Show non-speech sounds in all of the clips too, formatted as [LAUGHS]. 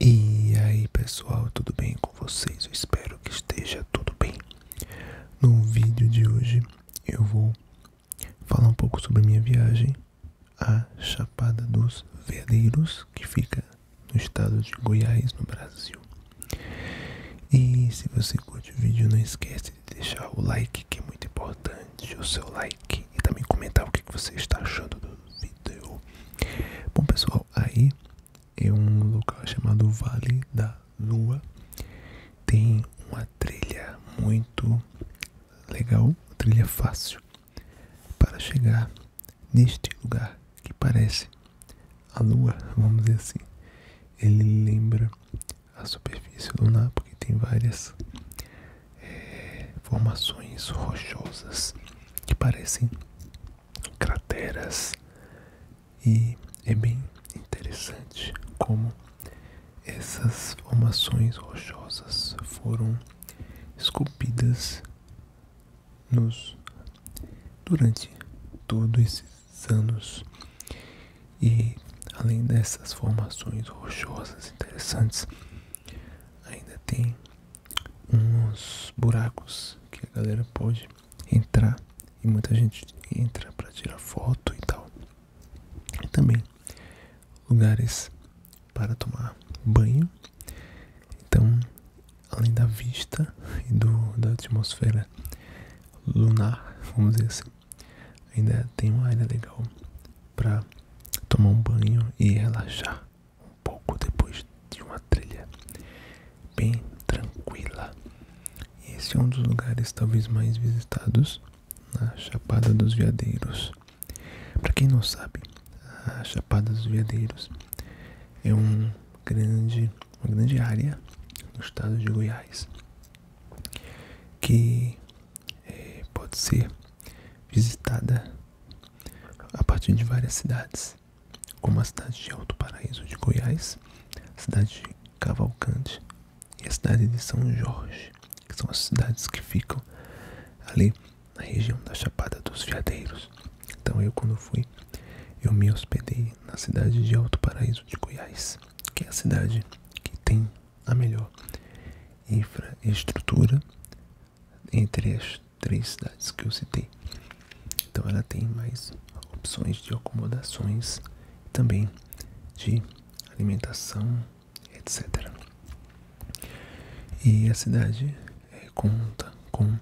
E aí pessoal, tudo bem com vocês? Eu espero que esteja tudo bem. No vídeo de hoje eu vou falar um pouco sobre minha viagem à Chapada dos Veadeiros, que fica no estado de Goiás, no Brasil. E se você curte o vídeo, não esquece de deixar o like, que é muito importante, o seu like, e também comentar o que você está achando do vídeo. Bom pessoal, aí em é um local chamado Vale da Lua, tem uma trilha muito legal, uma trilha fácil para chegar neste lugar que parece a Lua, vamos dizer assim. Ele lembra a superfície lunar porque tem várias é, formações rochosas que parecem crateras e é bem interessante como essas formações rochosas foram esculpidas nos durante todos esses anos. E além dessas formações rochosas interessantes, ainda tem uns buracos que a galera pode entrar e muita gente entra para tirar foto e tal. E também lugares para tomar banho. Então além da vista e do, da atmosfera lunar, vamos dizer assim, ainda tem uma área legal para tomar um banho e relaxar um pouco depois de uma trilha bem tranquila. Esse é um dos lugares talvez mais visitados na Chapada dos Veadeiros. Para quem não sabe, a Chapada dos Veadeiros é um grande uma grande área no estado de Goiás que é, pode ser visitada a partir de várias cidades, como a cidade de Alto Paraíso de Goiás, a cidade de Cavalcante e a cidade de São Jorge, que são as cidades que ficam ali na região da Chapada dos Veadeiros. Então eu quando fui, eu me hospedei na cidade de Alto Paraíso de Goiás, que é a cidade que tem a melhor infraestrutura entre as três cidades que eu citei. Então ela tem mais opções de acomodações, também de alimentação, etc. E a cidade é, conta com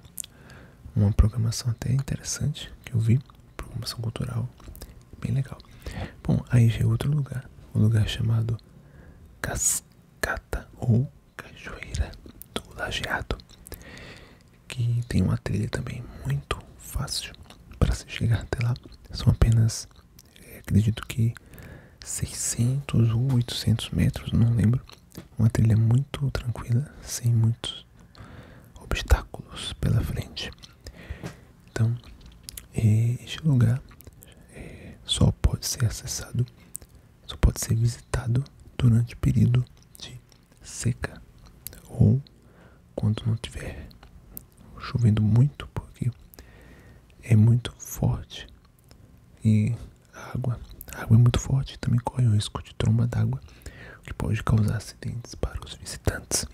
uma programação até interessante que eu vi, programação cultural, bem legal. Bom, aí já é outro lugar, um lugar chamado Cascata ou Cachoeira do Lajeado, que tem uma trilha também muito fácil para se chegar até lá. São apenas, é, acredito que 600 ou 800 metros, não lembro. Uma trilha muito tranquila, sem muitos obstáculos pela frente. Então, este lugar é, só pode ser acessado, só pode ser visitado durante o período de seca ou quando não tiver chovendo muito, porque é muito forte e a água. água é muito forte e também corre o risco de tromba d'água, que pode causar acidentes para os visitantes.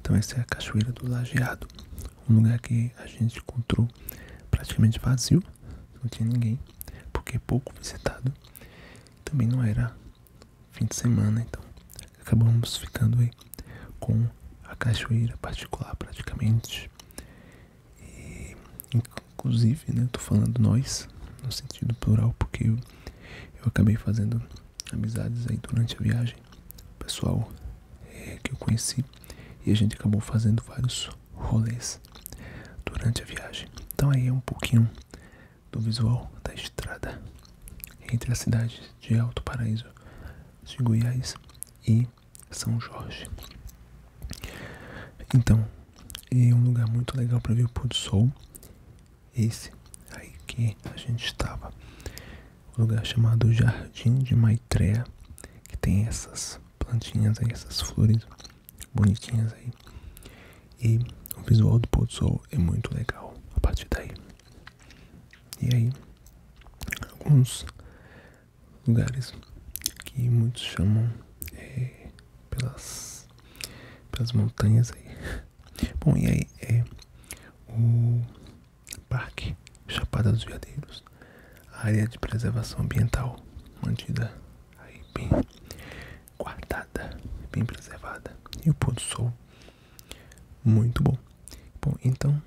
Então essa é a Cachoeira do Lajeado, um lugar que a gente encontrou praticamente vazio, não tinha ninguém, porque pouco visitado. Também não era fim de semana, então acabamos ficando aí com a cachoeira particular praticamente e, inclusive, né, tô falando nós, no sentido plural, porque eu, acabei fazendo amizades aí durante a viagem. Pessoal é, que eu conheci e a gente acabou fazendo vários rolês durante a viagem. Então aí é um pouquinho do visual da estrada entre a cidade de Alto Paraíso de Goiás e são Jorge. Então, é um lugar muito legal para ver o pôr do sol. Esse aí que a gente estava. Um lugar chamado Jardim de Maitreya, que tem essas plantinhas aí, essas flores bonitinhas aí. E o visual do pôr do sol é muito legal a partir daí. E aí, alguns lugares que muitos chamam é, pelas, pelas montanhas aí. [LAUGHS] Bom, e aí é o Parque Chapada dos Veadeiros, área de preservação ambiental mantida aí bem guardada, bem preservada. E o pôr do sol muito bom. Bom, então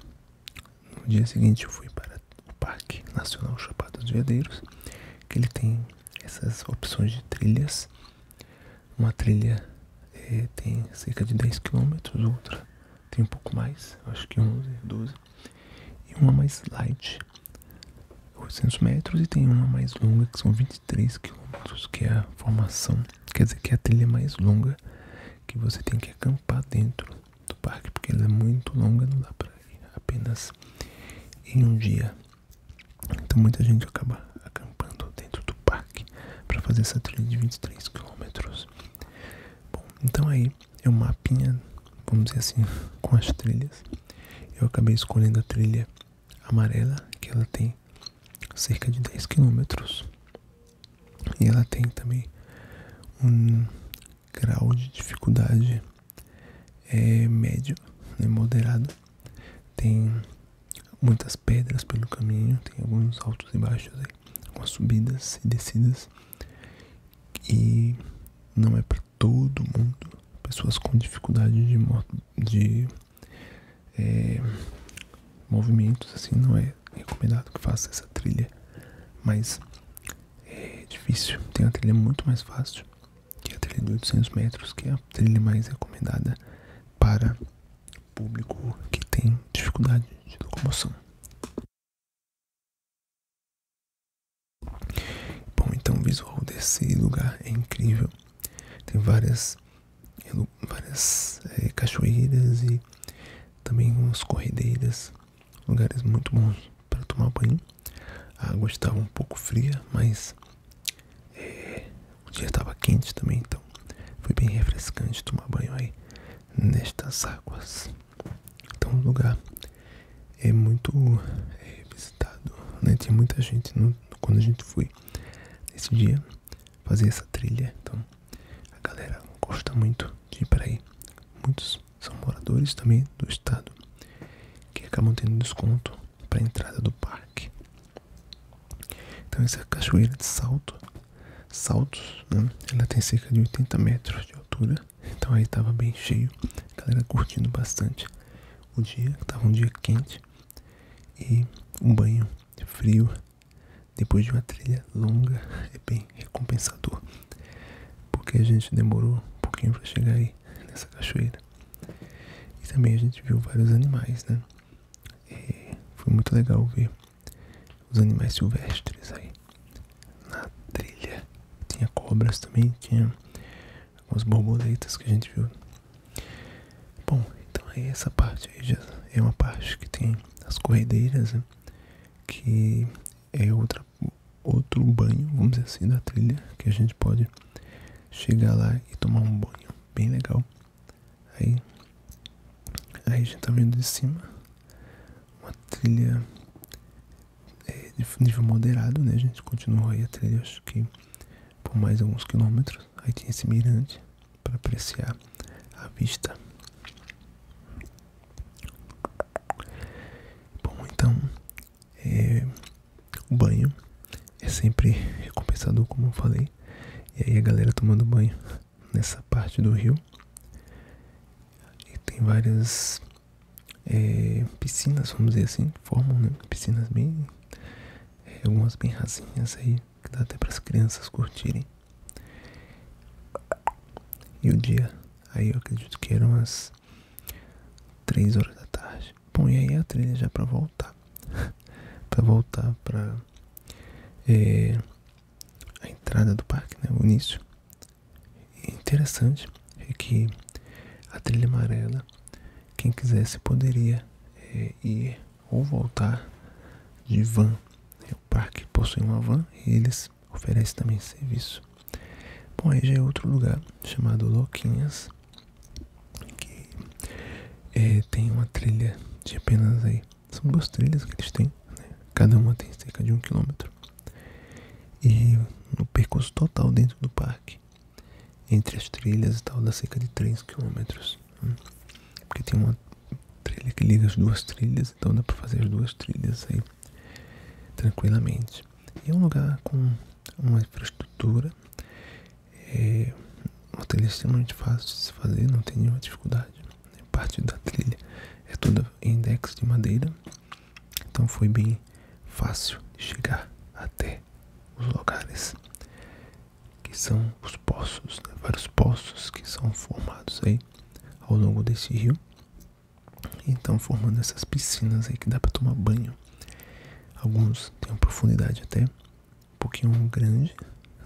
no dia seguinte eu fui para o Parque Nacional Chapada dos Veadeiros, que ele tem essas opções de trilhas. Uma trilha eh, tem cerca de 10 km, outra tem um pouco mais, acho que 11, 12, e uma mais light, 800 metros, e tem uma mais longa, que são 23 km, que é a formação, quer dizer que é a trilha mais longa que você tem que acampar dentro do parque, porque ela é muito longa, não dá para ir apenas em um dia. Então muita gente acaba acampando dentro do parque para fazer essa trilha de 23 quilômetros. Bom, então aí é um mapinha, vamos dizer assim, [LAUGHS] com as trilhas. Eu acabei escolhendo a trilha amarela, que ela tem cerca de 10 quilômetros. E ela tem também um grau de dificuldade é médio, né, moderado. Tem muitas pedras pelo caminho, tem alguns altos e baixos aí, algumas subidas e descidas. E não é para todo mundo. Pessoas com dificuldade de, é, movimentos, assim, não é recomendado que faça essa trilha. Mas é difícil. Tem uma trilha muito mais fácil, que a trilha de 800 metros, que é a trilha mais recomendada para público que tem dificuldade de locomoção. Bom, então o visual desse lugar é incrível. Tem várias, eh, várias eh, cachoeiras e também umas corredeiras lugares muito bons para tomar banho. A água estava um pouco fria, mas é, o dia estava quente também, então foi bem refrescante tomar banho aí nestas águas. Então o lugar é muito é, visitado, né? Tinha muita gente quando a gente foi nesse dia fazer essa trilha, então a galera gosta muito de ir para aí. Muitos são moradores também do estado que acabam tendo desconto para a entrada do parque. Então essa cachoeira de salto, saltos, né, ela tem cerca de 80 metros de altura. Então aí estava bem cheio, a galera curtindo bastante o dia, estava um dia quente e um banho frio depois de uma trilha longa e é bem recompensador, porque a gente demorou um pouquinho para chegar aí nessa cachoeira e também a gente viu vários animais, né? E foi muito legal ver os animais silvestres aí na trilha. Tinha cobras também, tinha algumas borboletas que a gente viu. Bom, então é essa parte aí já é uma parte que tem as corredeiras, né? que é outra, outro banho, vamos dizer assim, da trilha, que a gente pode chegar lá e tomar um banho bem legal. Aí, aí a gente tá vendo de cima uma trilha é, de nível moderado, né? A gente continua aí a trilha, acho que por mais alguns quilômetros. Aí tinha esse mirante para apreciar a vista Bom, então, é, o banho é sempre recompensador, como eu falei. E aí a galera tomando banho nessa parte do rio. E tem várias é, piscinas, vamos dizer assim, formam né, piscinas bem, é, algumas bem rasinhas aí, que dá até para as crianças curtirem. E o dia Aí eu acredito que eram as 3 horas da tarde. Bom, e aí a trilha já para voltar. [LAUGHS] para voltar para eh, a entrada do parque, né? O início. interessante é que a trilha amarela, quem quisesse poderia eh, ir ou voltar de van. O parque possui uma van e eles oferece também serviço. Bom, aí já é outro lugar chamado Loquinhas, que é, tem uma trilha de apenas aí. São duas trilhas que eles têm, né? cada uma tem cerca de um quilômetro. E no percurso total dentro do parque, entre as trilhas e tal, dá cerca de 3 quilômetros. Né? Porque tem uma trilha que liga as duas trilhas então dá para fazer as duas trilhas aí tranquilamente. E é um lugar com uma infraestrutura, é uma trilha extremamente fácil de se fazer, não tem nenhuma dificuldade. Né? Parte da trilha é toda em decks de madeira, então foi bem fácil de chegar até os lugares que são os poços, né? vários poços que são formados aí ao longo desse rio então formando essas piscinas aí que dá para tomar banho. Alguns têm uma profundidade até um pouquinho grande,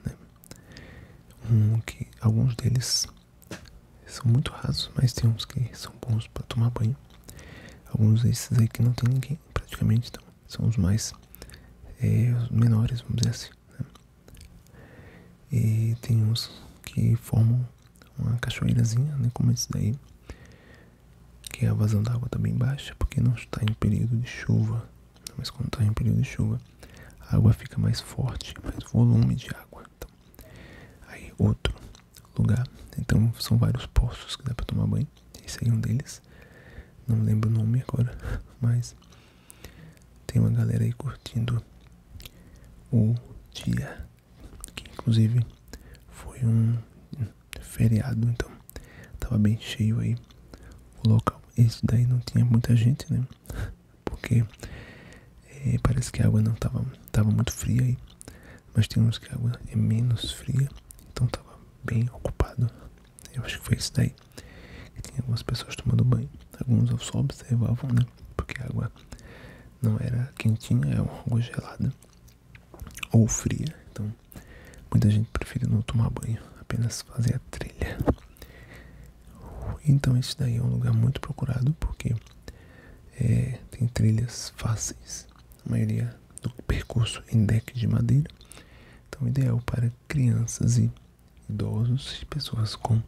né? Um que alguns deles são muito rasos, mas tem uns que são bons para tomar banho. Alguns desses aí que não tem ninguém praticamente, então são os mais eh, menores, vamos dizer assim. Né? E tem uns que formam uma cachoeirazinha, né, como esse daí, que a vazão d'água está bem baixa, porque não está em período de chuva. Mas quando está em período de chuva, a água fica mais forte, mais volume de água. Então, aí outro lugar. Então são vários poços que dá para tomar banho. Esse aí é um deles. Não lembro o nome agora, [LAUGHS] mas tem uma galera aí curtindo o dia, que inclusive foi um feriado, então tava bem cheio aí o local. Esse daí não tinha muita gente, né? Porque eh, parece que a água não tava, tava muito fria aí, mas tem uns que a água é menos fria, então tava bem ocupado. Eu acho que foi esse daí. E tinha algumas pessoas tomando banho, alguns só observavam, né? Porque a água não era quentinha, é água gelada ou fria. Então, muita gente prefere não tomar banho, apenas fazer a trilha. Então, esse daí é um lugar muito procurado porque é, tem trilhas fáceis, a maioria do percurso em deck de madeira. Então, ideal para crianças e idosos e pessoas com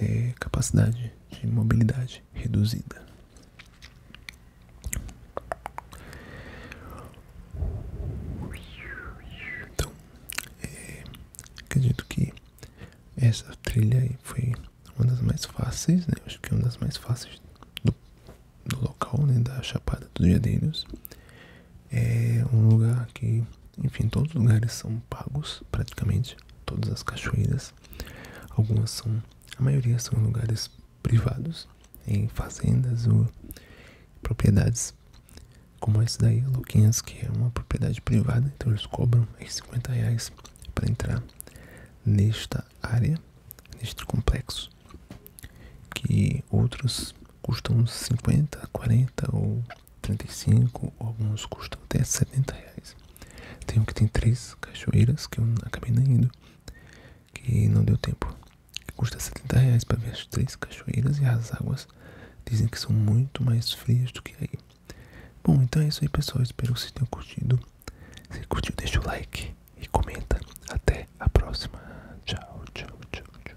é, capacidade de mobilidade reduzida. Então, é, acredito que essa trilha aí foi uma das mais fáceis, né? Acho que é uma das mais fáceis do, local, né? Da Chapada dos Veadeiros. É um lugar que enfim, todos os lugares são pagos, praticamente todas as cachoeiras. Algumas são, a maioria são em lugares privados, em fazendas ou propriedades como essa daí, Louquinhas, que é uma propriedade privada, então eles cobram aí 50 reais para entrar nesta área, neste complexo, que outros custam 50, 40 ou 35, alguns custam até 70 reais. Tem um que tem três cachoeiras que eu acabei nem indo, que não deu tempo. Que custa 70 reais para ver as três cachoeiras e as águas dizem que são muito mais frias do que aí. Bom, então é isso aí pessoal, espero que vocês tenham curtido. Se curtiu, deixa o like e comenta. Até a próxima. Tchau, Tchau, tchau, tchau.